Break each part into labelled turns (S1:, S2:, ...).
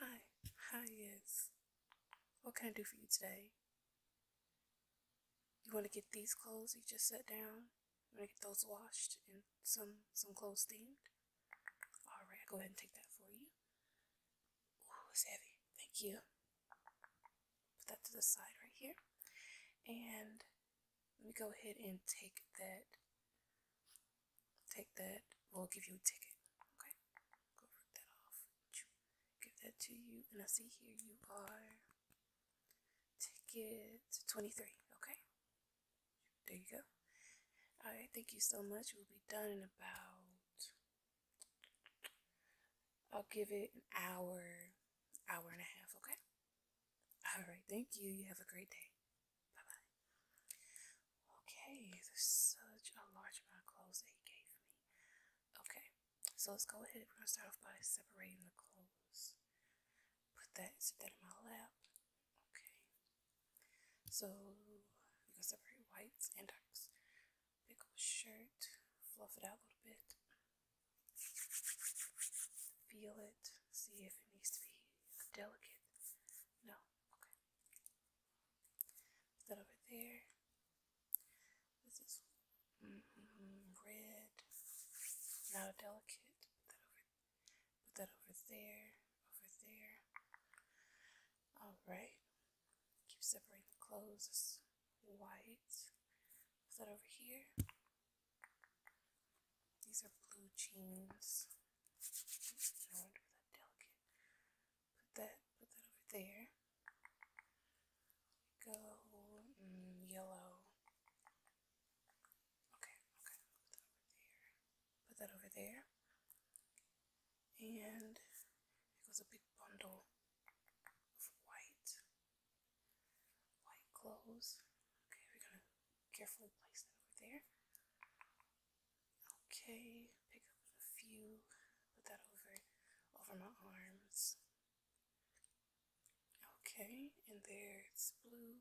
S1: Hi. Hi, yes. What can I do for you today? You want to get these clothes you just sat down? You want to get those washed and some, some clothes steamed? Alright, go ahead and take that for you. Ooh, it's heavy. Thank you. Put that to the side right here. And let me go ahead and take that take that, we'll give you a ticket. Okay, go rip that off. Give that to you, and I see here you are ticket 23. Okay, there you go. All right, thank you so much. We'll be done in about, I'll give it an hour, hour and a half. Okay, all right, thank you. You have a great day. Bye bye. Okay, there's such a large amount of clothes that gave me. Okay, so let's go ahead. We're gonna start off by separating the clothes. Put that, sit that in my lap. Okay. So we're going separate whites and ducks. Pick up a shirt, fluff it out a little bit. Feel it. See if it needs to be delicate. No. Okay. Put that over there. This is mm red. Not delicate. Put that over. Put that over there. Over there. All right. Keep separating the clothes. white. Put that over here. These are blue jeans. So I for that delicate. Put that, put that over there. Go mm, yellow. Okay, okay. Put that over there. Put that over there. And it goes a big bundle of white, white clothes. Okay, we're gonna carefully place that over there. Okay, pick up a few, put that over over my arms. Okay, and there it's blue,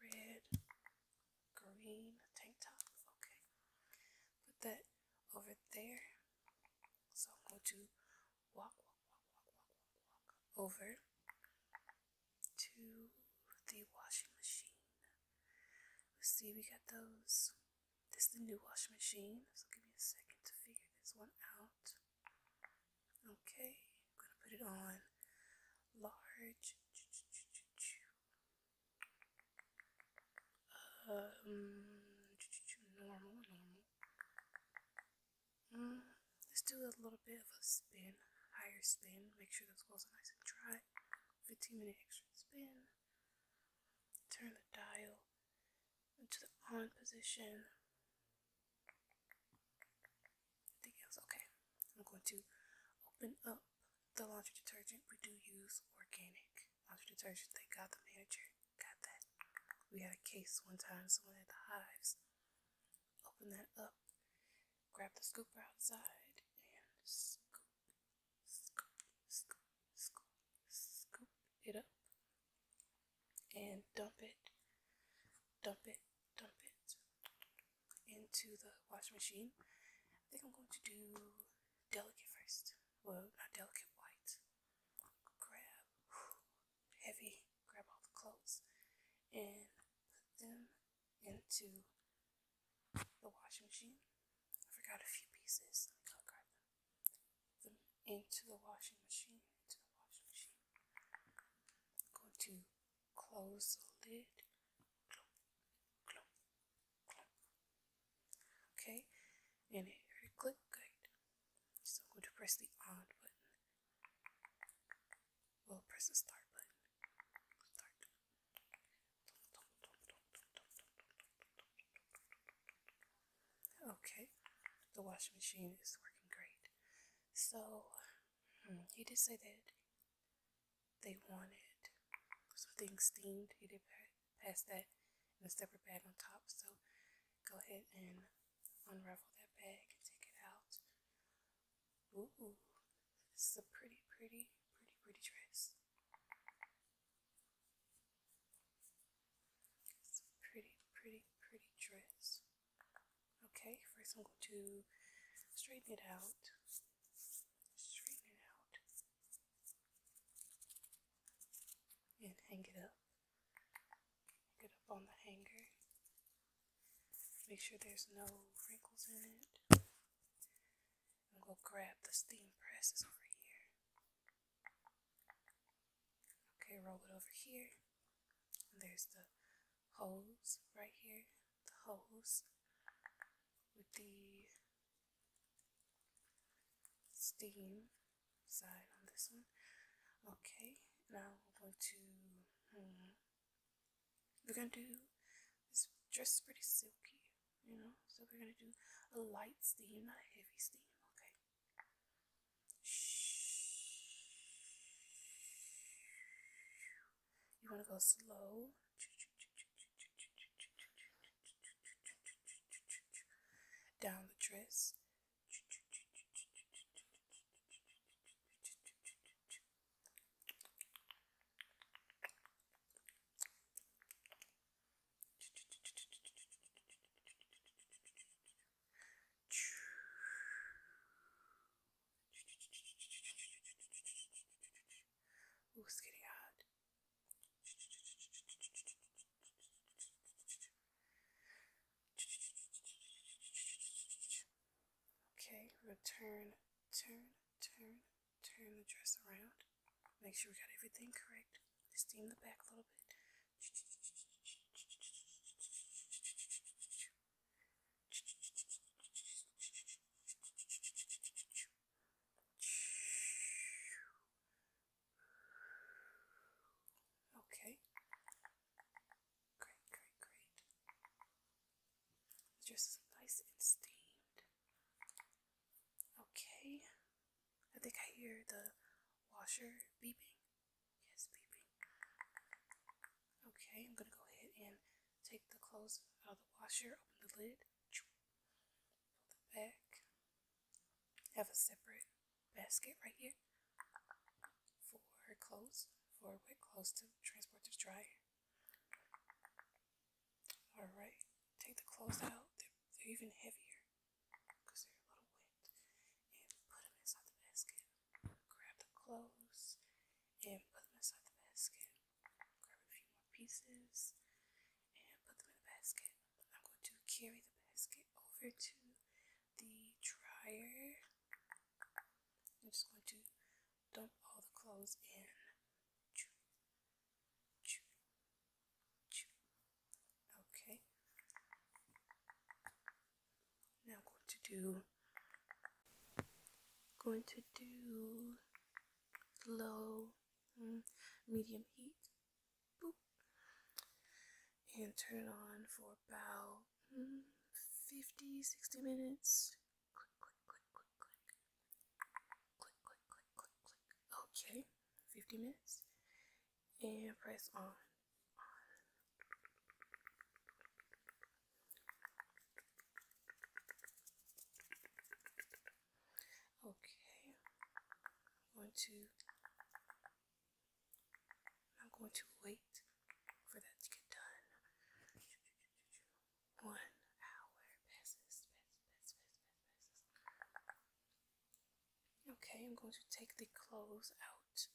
S1: red, green tank top. Okay, put that over there. So I'm going to walk, walk, walk, walk, walk, walk, walk over to the washing machine. Let's see, we got those. This is the new washing machine, so give me a second to figure this one out. Okay, going to put it on large. Um, normal, normal. Mm, let's do a little bit of a spin, higher spin. Make sure those walls are nice and dry. 15 minute extra spin. Turn the dial into the on position. Think it was okay. I'm going to open up the laundry detergent. We do use organic laundry detergent. Thank God the manager got that. We had a case one time, someone had the hives. Open that up grab the scooper outside and scoop, scoop, scoop, scoop, scoop it up and dump it, dump it, dump it into the wash machine. I think I'm going to do delicate first. Well, not delicate white. Grab heavy, grab all the clothes and put them into the washing machine. I forgot a few pieces. I can't grab them. them into the washing machine. Into the washing machine. I'm going to close the lid. Clump, clump, clump. Okay, and it already clicked good. So I'm going to press the on button. We'll press the start button. Start. Okay, the washing machine is working great. So, hmm, he did say that they wanted something steamed. He did pass that in a separate bag on top. So, go ahead and unravel that bag and take it out. Ooh, this is a pretty, pretty, pretty, pretty dress. pretty, pretty, pretty dress. Okay, first I'm going to straighten it out. Straighten it out. And hang it up. Hang it up on the hanger. Make sure there's no wrinkles in it. I'm going to grab the steam presses over here. Okay, roll it over here. there's the hose right here. The hose with the steam side on this one. Okay, now I'm going to. Hmm, we're gonna do this dress is pretty silky, you know. So we're gonna do a light steam, not a heavy steam, okay? You wanna go slow. Down the dress. Ooh, it's getting hot. Okay, return, turn, turn, turn the dress around. Make sure we got everything correct. Steam the back a little bit. Okay. Great, great, great. Just nice and steamed. Okay. I think I hear the washer beeping. Yes, beeping. Okay, I'm gonna go ahead and take the clothes out of the washer, open the lid, pull them back. Have a separate basket right here for clothes, for wet clothes to transport to dry. Alright, take the clothes out. They're, even heavier because they're a little wet. And put them inside the basket. Grab the clothes and put them inside the basket. Grab a few more pieces and put them in the basket. I'm going to carry the basket over to the dryer. I'm just going to dump all the clothes in. Okay. Now I'm going to do going to do low mm, medium heat. And turn it on for about mm, 50 60 minutes Click, click, click, click, click. Click, click, click, click, click. Okay, 50 minutes. And press on. Okay, going to, I'm going to wait for that to get done. One hour passes, Okay, I'm going to take the clothes out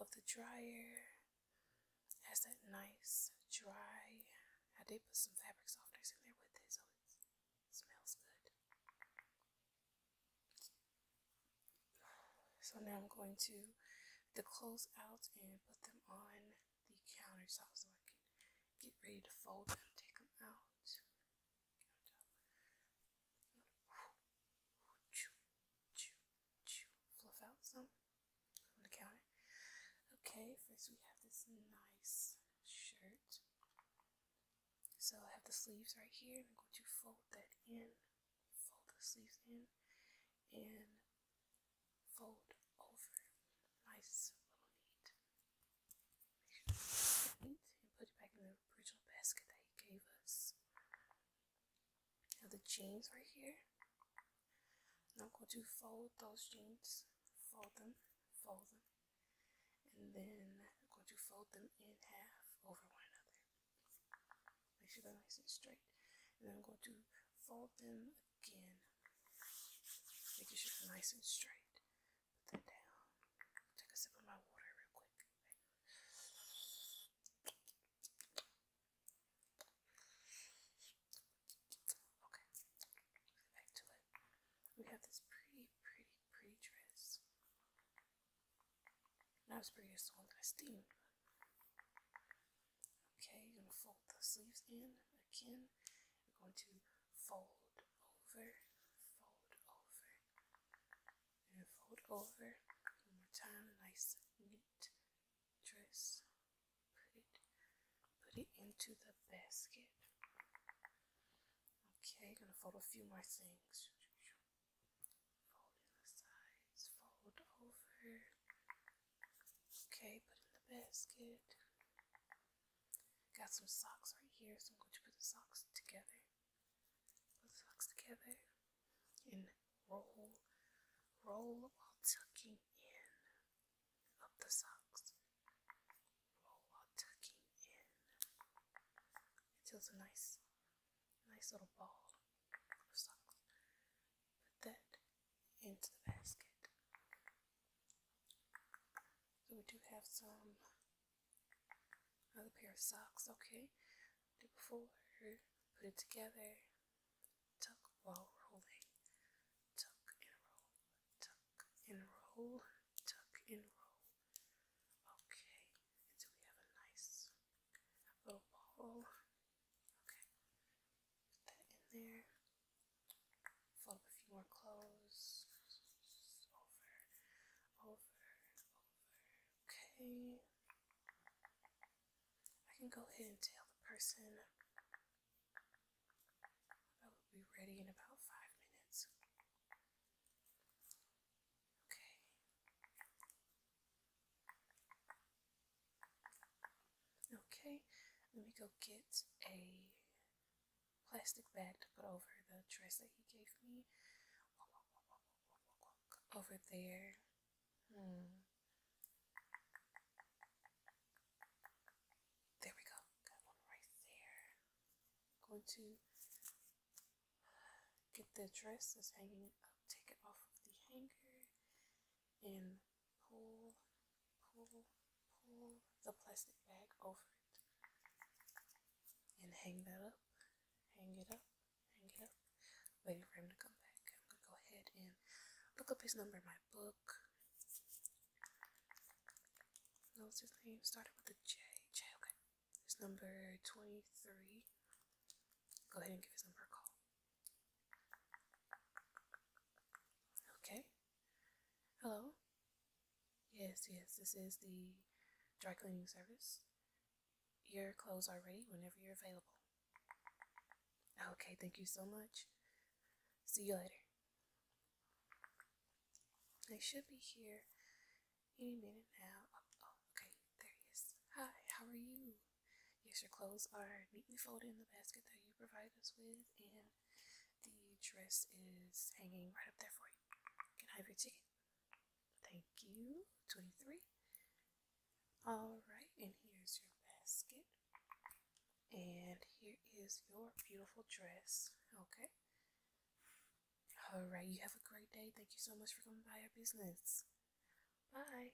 S1: of the dryer. It has that nice dry. I did put some fabric softeners in there with it, so it smells good. So now I'm going to the clothes out and put them on the counters so I can get ready to fold them, take them out. Fluff out some on the counter. Okay, first we have this nice shirt. So I have the sleeves right here. I'm going to fold that in, fold the sleeves in, and fold over. Nice little neat. And put it back in the original basket that gave us. Now the jeans right here. I'm going to fold those jeans. Fold them. Fold them. And then I'm going to fold them in half over one another. Make sure they're nice and straight. And then I'm going to fold them again, making sure it's nice and straight. Put that down. Take a sip of my water real quick. Okay, back to it. We have this pretty, pretty, pretty dress. Not as pretty as the one that I steamed, Okay, you're going to fold the sleeves in again. You're going to fold over, fold over, and fold over. One more time, nice, neat dress. Put it, put it into the basket. Okay, you're going to fold a few more things. Fold in the sides, fold over, Okay, put in the basket. Got some socks right here, so I'm going to put the socks together. Put the socks together and roll, roll while tucking in up the socks. Roll while tucking in until it's a nice, nice little ball of socks. Put that into the basket. So we do have some other pair of socks, okay. Do before, put it together, tuck while rolling, tuck and roll, tuck and roll, tuck and roll. Okay, and we have a nice little ball Okay. Put that in there. Fold a few more clothes. Over, over, over. Okay. I can go ahead and tell the person I will be ready in about five minutes. Okay. Okay, let me go get a plastic bag to put over the dress that he gave me. Over there. Hmm. There we go. Got one right there. going to get the dress that's hanging up, take it off the hanger, and pull, pull, pull the plastic bag over it and hang that up, hang it up, hang it up, waiting for him to come back. I'm gonna go ahead and look up his number in my book. What his name? Started with a J. J, okay. His number 23. Go ahead and give his number a call. Okay. Hello. Yes, yes, this is the dry cleaning service. Your clothes are ready whenever you're available. Okay, thank you so much. See you later. They should be here any minute now. oh okay, there he is. Hi, how are you? Yes, your clothes are neatly folded in the basket that you provide us with, and the dress is hanging right up there for you. Can I have your ticket? Thank you. 23. Alright, and here's your basket. And here is your beautiful dress. Okay. Alright, you have a great day. Thank you so much for coming by our business. Bye.